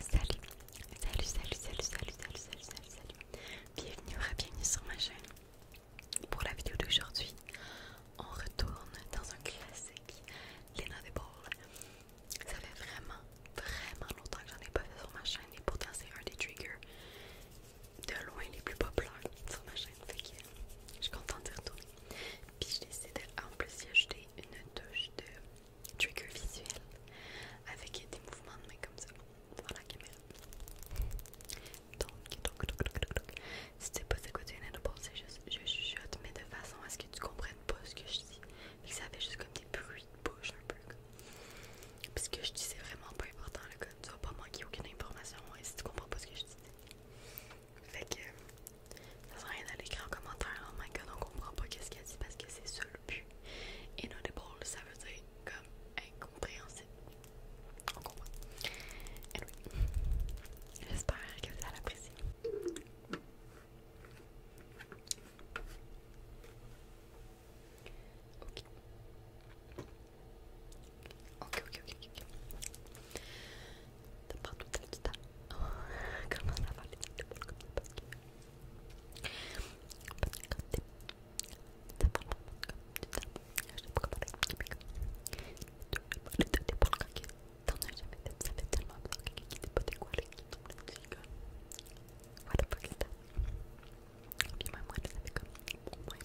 Salut, salut, salut, salut, salut, salut, salut, salut, Bienvenue, bienvenue sur ma chaîne. Pour la vidéo d'aujourd'hui, on retourne dans un classique, Lena de Paul. Ça fait vraiment, vraiment longtemps que j'en ai pas fait sur ma chaîne et pourtant c'est un des triggers de loin les plus populaires sur ma chaîne. Fait que je suis contente d'y retourner. Puis j'ai décidé en plus d'y ajouter une touche de trigger visuel avec des mouvements de main comme ça devant la caméra. Donc, donc, donc, donc, donc. Si tu sais pas ce quoi tu viens de penser, je chuchote, mais de façon à ce que tu comprennes pas ce que je dis. mais ça fait juste comme des bruits de bouche un peu puis ce que je dis, c'est vraiment pas important, là, comme tu vas pas manquer aucune information et hein, si tu comprends pas ce que je dis. Fait que ça sert à rien d'aller écrire en commentaire, en my god, on comprend pas qu'est-ce qu'elle dit parce que c'est ça le but. Inaudible, ça veut dire comme incompréhensible. On comprend. Anyway, j'espère que vous allez apprécier. Ok. Ok, ok, ok, ok. pas tout le Comment ça va les ça que. moi, je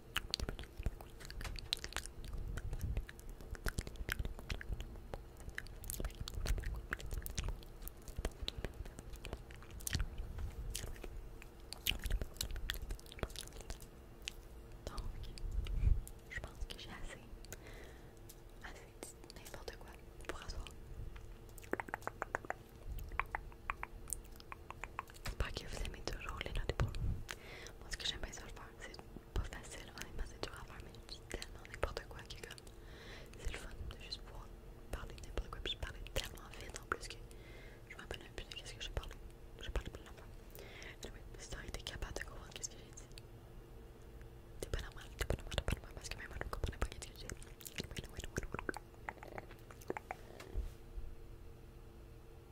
Donc, je pense que j'ai assez, assez n'importe quoi pour asseoir pas que vous aimez toujours les notes pour Moi, ce que j'aime bien ça faire, c'est pas facile, vraiment c'est dur à faire, mais je dis tellement n'importe quoi est comme c'est le fun de juste pouvoir parler n'importe quoi. Puis je parlais tellement vite en plus que je me rappelle plus de qu'est-ce que j'ai parlé. J'ai parlé plein d'affaires. Anyway, si t'aurais été capable de comprendre qu'est-ce que j'ai dit, t'es pas normal, t'es pas normal, t'es pas normal parce que même moi, je ne comprenais pas qu'est-ce que j'ai